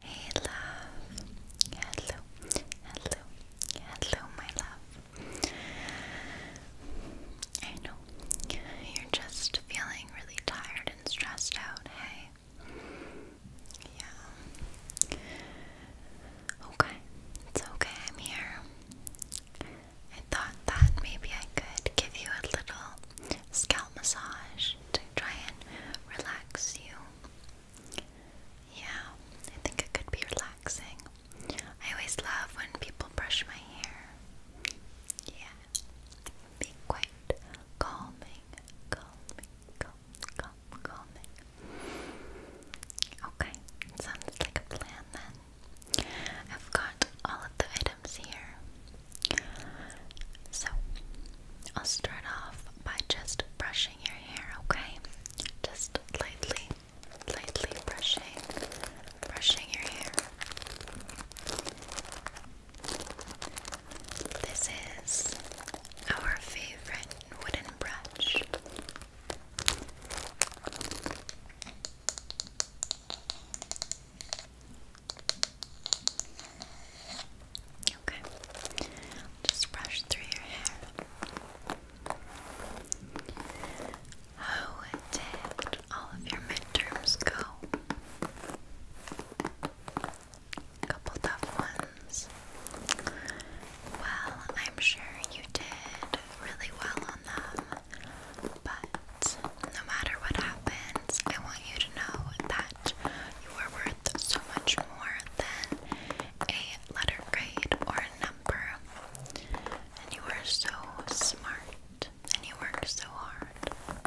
Hey love, hello, hello, hello my love. I know you're just feeling really tired and stressed out, hey? Yeah. Okay, it's okay, I'm here. I thought that maybe I could give you a little scalp massage to try and relax you yeah, I think it could be relaxing. I always love when people brush my hair. Yeah, it can be quite calming, calming, calm, calm, calming. Okay, sounds like a plan then. I've got all of the items here. So, I'll start off by just brushing your hair, okay? Just lightly, lightly brushing, brushing your hair. This is our favorite wooden brush. Okay, just brush through your hair. How did all of your midterms go? A couple tough ones. Well, I'm sure you did really well on them, but no matter what happens, I want you to know that you are worth so much more than a letter grade or a number. And you are so smart and you work so hard.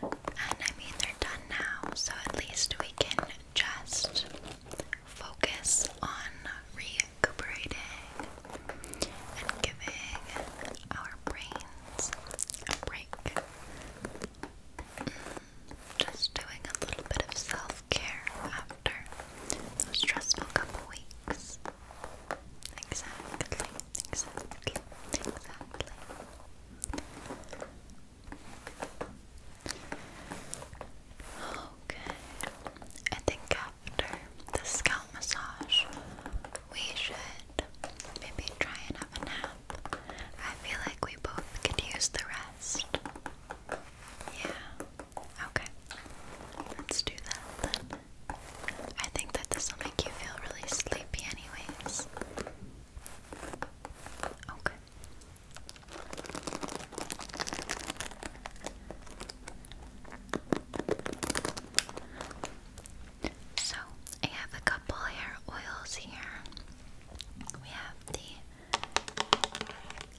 And I mean, they're done now, so at least we can just focus on recuperating and giving our brains a break like just doing a little bit of self care after those stressful couple weeks. Exactly, exactly, exactly. Okay, I think after the scalp massage. We should maybe try and have a nap. I feel like we both could use the rest. Yeah. Okay. Let's do that I think that this will make you feel really sleepy, anyways. Okay. So I have a couple hair oils here. We have the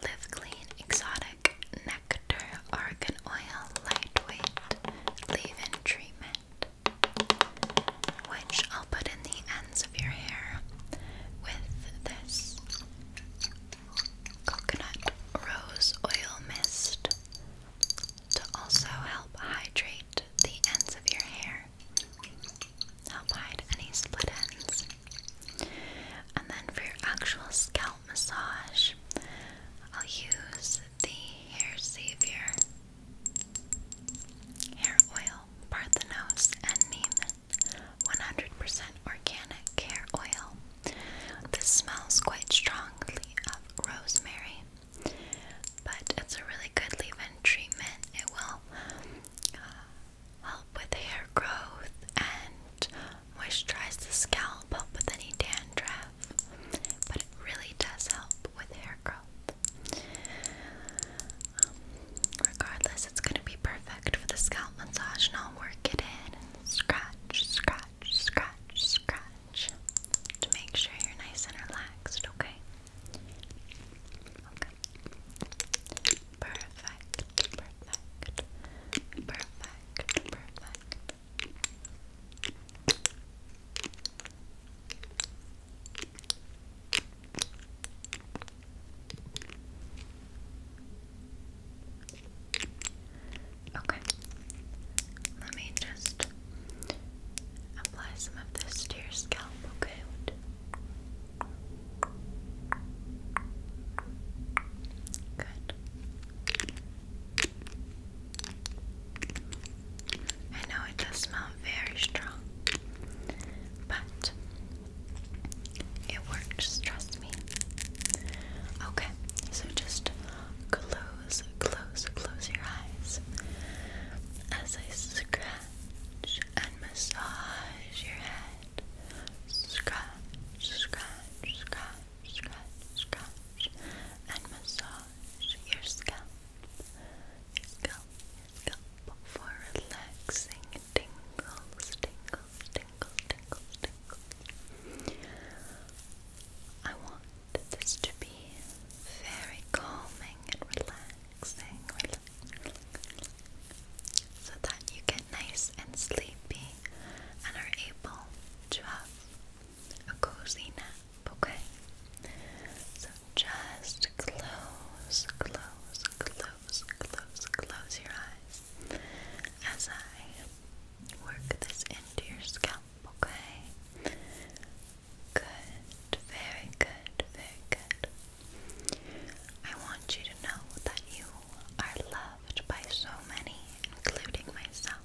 Live Clean Exotic Nectar Argan Oil Lightweight Leave-In Treatment, which I'll put in the ends of your hair with this coconut rose oil mist to also help hydrate the ends of your hair, help hide any split ends. And then for your actual scalp massage, I'll use the Hair Savior hair oil, Parthenos and Neiman 100% organic hair oil. This smells quite strongly of rosemary. But it's a really good leave in treatment. It will uh, help with hair growth and moisturize the scalp, help with any dandruff. But it really does help with hair growth. Um, regardless, it's going to be perfect for the scalp massage, and I'll work it in scratch, scratch, scratch, scratch to make sure you're nice and relaxed, okay? Okay. Perfect, perfect, perfect, perfect. Okay. Let me just apply some of this to your okay? Good. I know it does smell very strong, but it works, trust me. Okay, so just glue close, close, close your eyes as I scratch and massage your head. Scratch, scratch, scratch, scratch, scratch, and massage your scalp. scalp, scalp for relaxing tingles, tingles, tingles, tingles, tingles. I want this to be very calming and relaxing, so that you get nice and sleepy and are able to have a cozy nap, okay? So just close, close, close, close, close your eyes as I Work this into your scalp, okay? Good, very good, very good. I want you to know that you are loved by so many, including myself.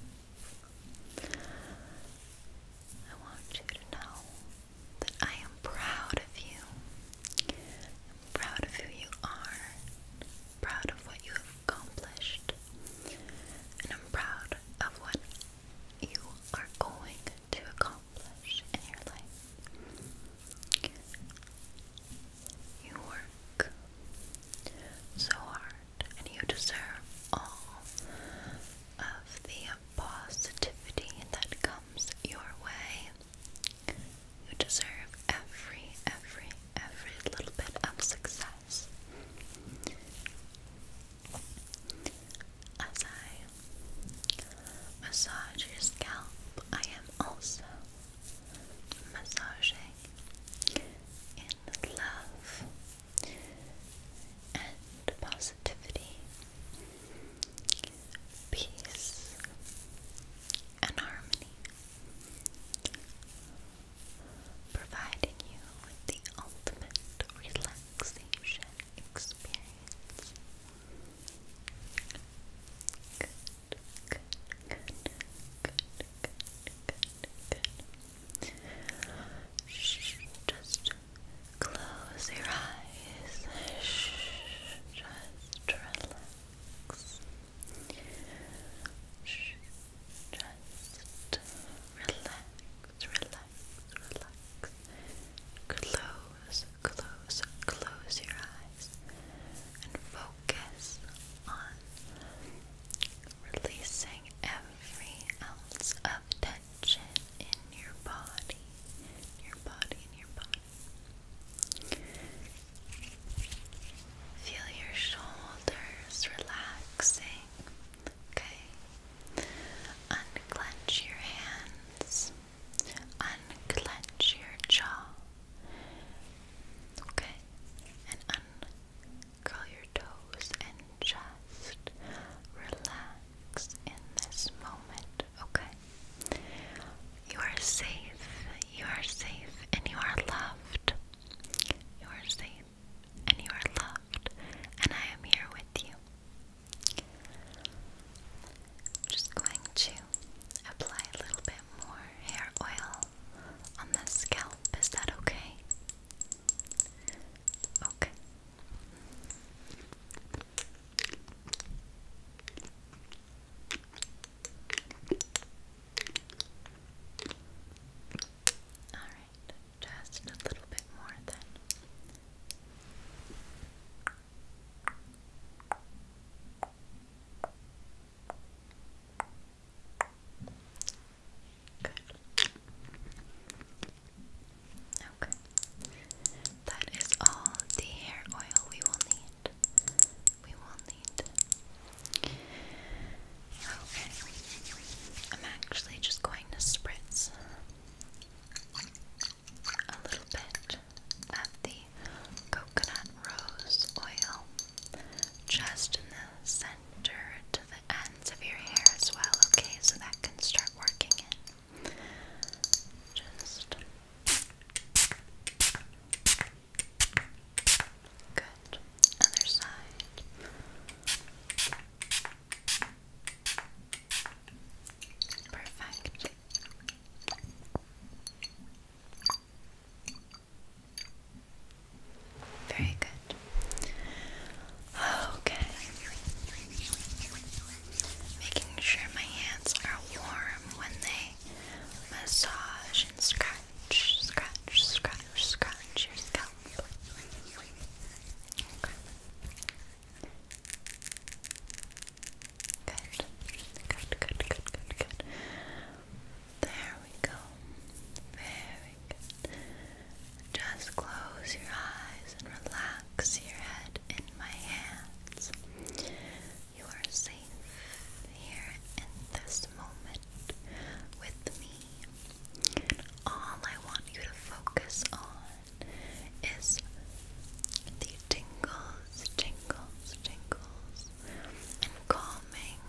I want you to know that I am proud of you. proud of who you are, proud of what you have accomplished. And I'm proud of what you are going to accomplish in your life. You work so hard, and you deserve all of the positivity that comes your way. You deserve every, every, every little bit of success as I massage your scalp, I am also massaging in love and positivity, peace and harmony providing you with the ultimate relaxation experience. Good, good, good, good, good, good, good. Shh, just close your eyes. Shh, just relax. Just relax, relax, relax. Close, close, close your eyes and focus on releasing every ounce of tension in your body, in your body, in your body. Feel your shoulders relaxing. Okay. Unclench your hands. Unclench your jaw. Okay. And uncurl your toes and just relax in this moment. Okay. You are safe. You are safe and you are loved. You are safe and you are loved. And I am here with you. just going to apply a little bit more hair oil on the scalp. Is that okay? Okay. Alright, just a little bit more then. Good. Okay. That is all the hair oil we will need we will need. Okay, I'm actually just going to spritz a little bit of the coconut rose oil just in the center to the ends of your hair as well, okay? So that can start working in. Just. Good. Other side. Perfect. Very good. Okay. Making sure my hands are warm when they massage and scratch, scratch, scratch, scratch your scalp. Good. Good, good, good, good, good. There we go. Very good. Just close your eyes and relax your head in my hands. You are safe here in this moment with me. All I want you to focus on is the tingles, tingles, tingles, and calming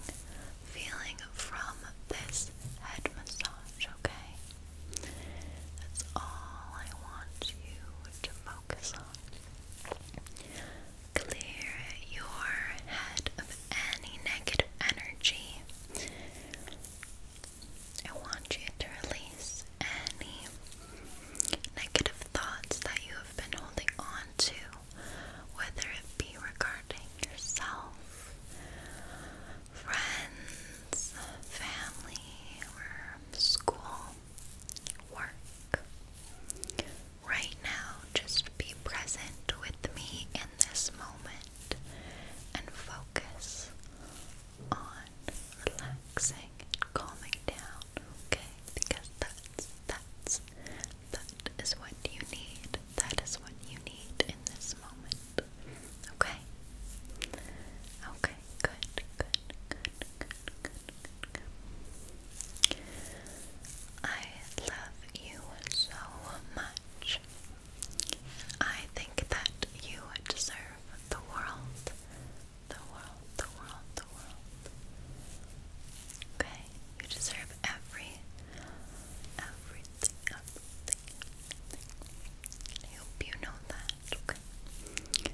feeling from this head massage, okay? That's all I want you to focus on. Clear your head of any negative energy. I want you to release any negative thoughts that you have been holding on to, whether it be regarding yourself, friends, family, or school, work. Right now, just be present with me in this moment and focus on relaxing and calming down, okay? Because that's, that's, that is what you need. That is what you need in this moment, okay? Okay, good, good good, I love you so much. I think that you deserve the world. The world, the world, the world. Okay, you deserve every, everything, everything. I hope you know that, okay?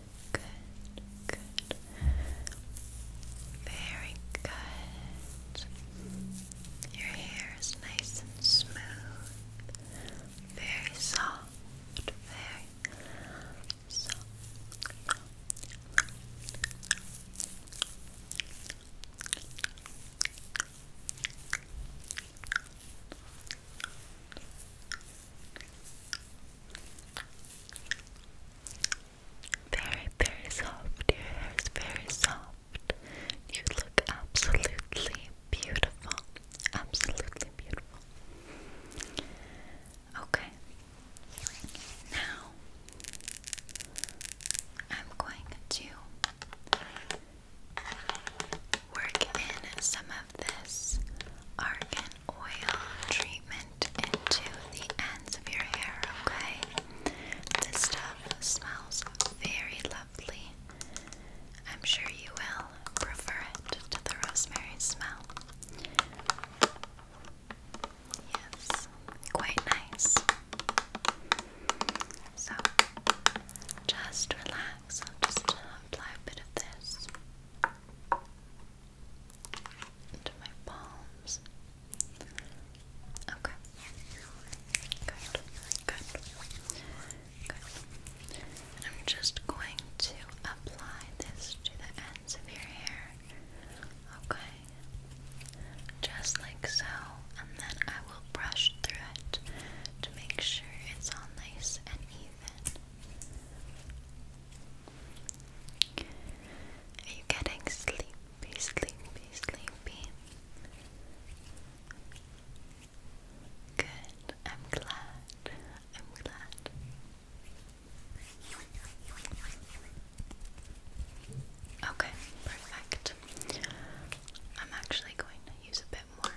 good, good. Very good. Your hair is nice and smooth. Very soft, very soft. Very, very soft. Your hair is very soft. You look absolutely beautiful. Absolutely beautiful. Okay. Now, I'm going to work in some of this argan oil treatment into the ends of your hair, okay? This stuff smells very lovely. I'm sure you will prefer it to the rosemary smell. Yes, quite nice. So, just relax. I'll just apply a bit of this. To my palms. Okay. Good. Good. Good. I'm just going to apply this to the ends of your hair. Okay. Just like so. And then I will brush through it to make sure it's all nice and even. Are you getting sleepy, sleepy, sleepy? Good, I'm glad. I'm glad. Okay, perfect. I'm actually going to use a bit more,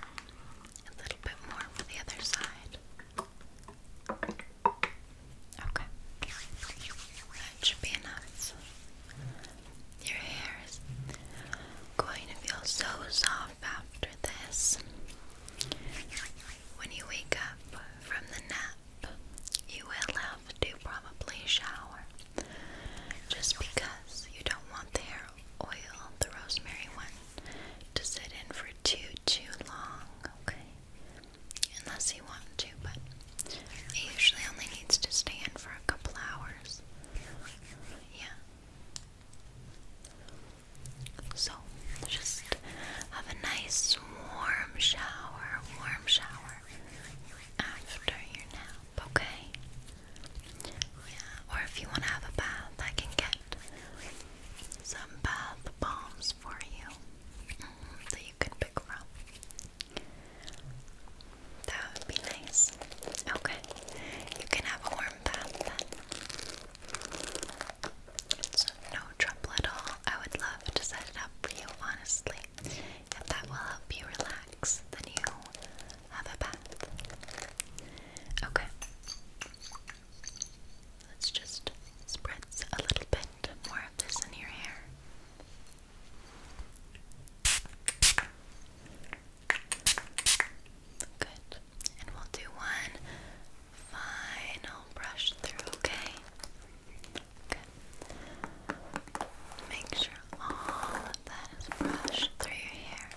a little bit more for the other side. Okay. That should be enough. Your hair is going to feel so soft after this. When you wake up from the nap, you will have to probably shower. Just because you don't want the hair oil, the rosemary one, to sit in for too, too long, okay? Unless you want to, but it usually only needs to stay in for a couple hours. Yeah. So, just have a nice warm shower, warm shower after your nap, okay? or if you want to have a bath, I can get some bath bombs for you mm, that you can pick from. That would be nice. Okay, you can have a warm bath no trouble at all. I would love to set it up for you, honestly. If that will help you relax, then you have a bath. Okay. Let's just spread a little bit more of this in your hair. Good. And we'll do one final brush through, okay? Good. Make sure all of that is brushed through your hair.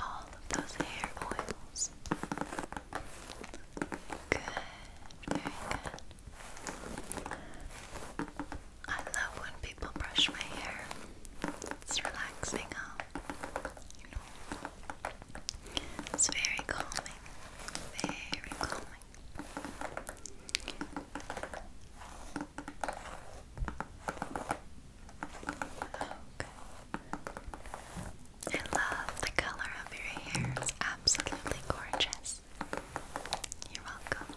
All of those hair oils. Good, very good. I love when people brush my hair. It's relaxing out. You know. It's very calming. Very calming. Okay. I love the color of your hair. It's absolutely gorgeous. You're welcome.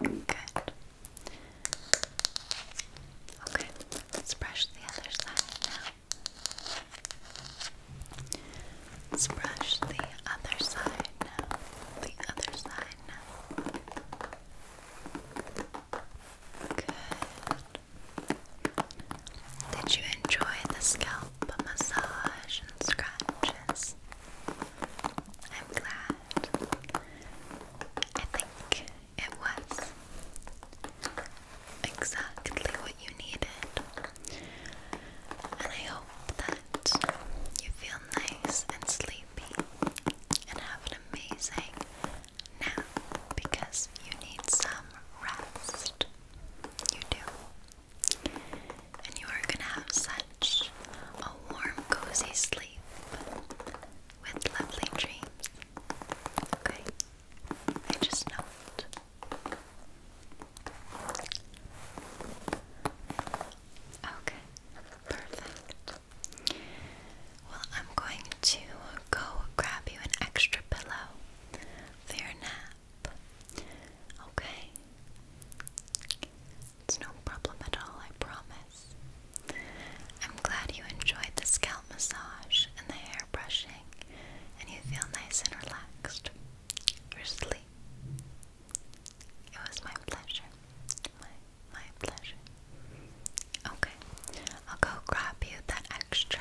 Good. Okay, let's brush the other side Let's brush the other side The other side Good. Did you enjoy the scalp massage and scratches? I'm glad. I think it was exactly what you needed. And I hope that you feel nice and sleepy and have an amazing nap because you need some rest. You do. And you are going to have such a warm, cozy sleep with lovely dreams. Okay? I just know it. Okay, perfect. Well, I'm going to go grab you an extra pillow for your nap. Okay? It's no problem at all, I promise. I'm glad you enjoyed the scalp massage and the hair brushing, and you feel nice and relaxed. You're asleep. It was my pleasure. My, my pleasure. Okay, I'll go grab you that extra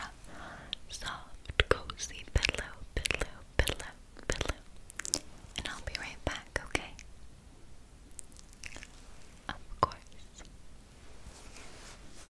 soft, cozy pillow, pillow, pillow, pillow. And I'll be right back, okay? Of course.